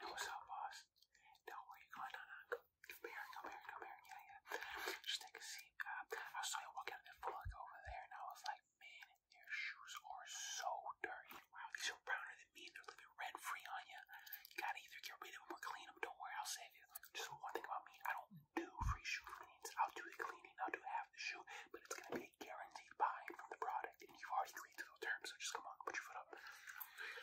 What's up, boss? Don't worry, come on, no, no, come, come here, come here, come here, yeah, yeah. Just take a seat. Uh, I saw you walking in that fog over there, and I was like, man, your shoes are so dirty. Wow, these are browner than me, and they're living red free on you. You gotta either get rid of them or clean them. Don't worry, I'll save you. Just one thing about me, I don't do free shoe cleans. I'll do the cleaning, I'll do half the shoe, but it's gonna be a guaranteed buying from the product. You've already agreed to those terms, so just come on, put your foot up.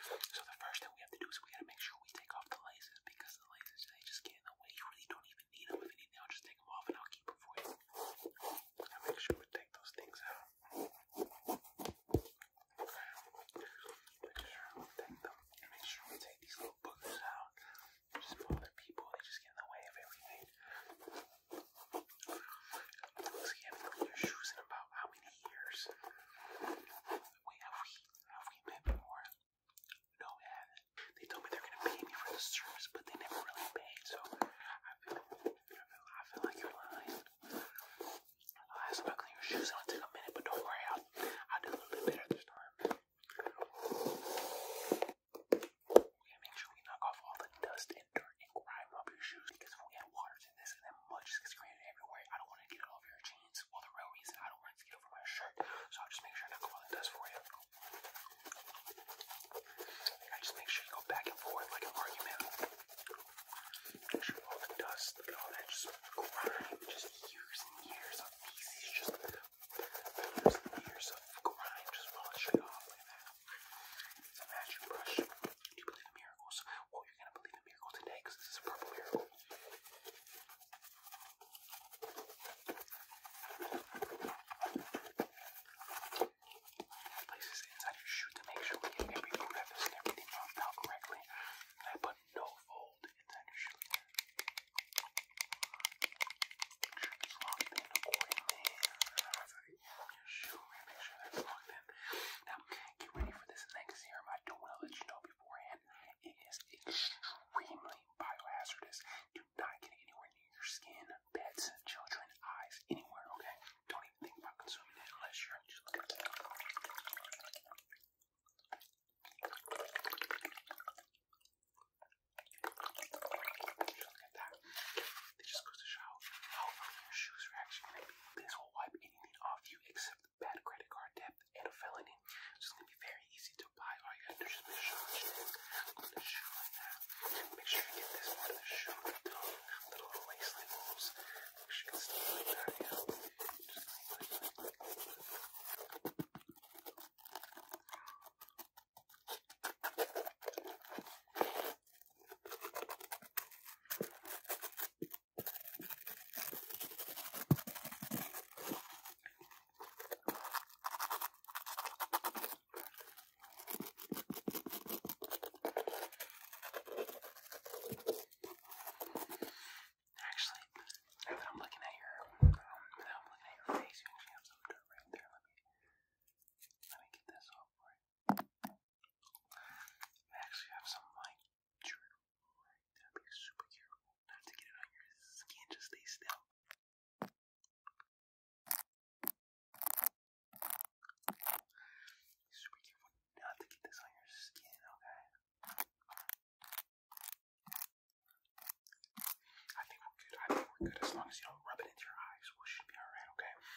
So the first thing we have to do is we gotta make sure we take off the laces because the laces they just get in the way. You really don't even need them. If anything, I'll just take them off and I'll keep them for you. make sure we take those things out. Make sure we take them. Make sure we take these little boogers out. Just bother people. They just get in the way of everything. Looks like you your shoes in about how many years? Wait, have we, have we met before? No, we haven't. They told me they're gonna pay me for the service, but they never really paid, so I feel, I like you're lying. I'll ask about cleaning your shoes, it'll take a minute, but don't worry, I'll, I'll do a little bit better this time. We make sure we knock off all the dust and dirt and grind up your shoes because if we had water in this and then mud just gets created everywhere, I don't want to get it all over your jeans. Well, the real reason I don't want to get over my shirt, so i just make sure Knuckle Island does for you. I just make sure you go back and forth like an argument. Make sure all the dust, look at all that just grime, just years and years of feces, just years and years of grime, just wash it off like that. It's a magic brush. Do you believe in miracles? Well, you're going to believe in miracles today this is a purple miracle. place this inside your shoe to make sure we get everything rubbed out correctly. I put no fold inside your shoe inside your shoe and make sure they're plugged in. Now, get ready for this next serum. I do want to let you know beforehand, it is extremely biohazardous. Do not get anywhere near your skin, pets, children, eyes, anywhere, okay? Don't even think about consuming it unless you're just looking look at that. It just goes to show how your shoes are actually going to be. This will wipe anything off you except bad credit card debt and a felony. It's just going to be very easy to buy. All you gotta do is just the shoe like that. Make sure you get this part of the shoe, the little waistline rules. Make like that, Actually, now that I'm looking at your, um, now I'm looking at your face, you actually have some dirt right there. Let me, let me get this off for you. I actually have some light. super careful not to get it on your skin. Just stay still. super careful not to get this on your skin. Okay. I think we're good. I think we're good as long as you don't rub it into your eyes. We should be all right. Okay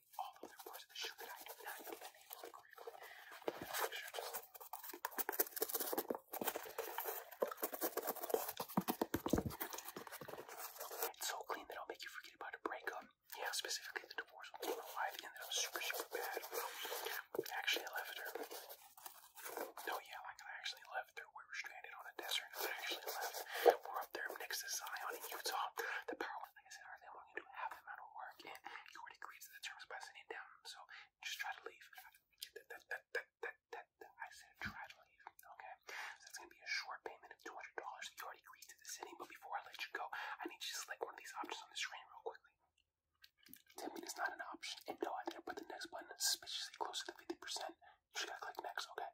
it's so clean that I'll make you forget about a breakup. Yeah, specifically the divorce. I don't know why super, super bad. Actually, I left her. No, yeah, I actually left her. I We're up there next to Zion in Utah. The power, like I said earlier, I want to do half the amount of work, and you already agreed to the terms by sitting down. So just try to leave. That, that, that, that, that, that, I said try to leave. Okay, so that's gonna be a short payment of two hundred dollars. You already agreed to the sitting, but before I let you go, I need you to select one of these options on the screen real quickly. Tipping is not an option, no, I didn't put the next button suspiciously close to the fifty percent. You just click next, okay?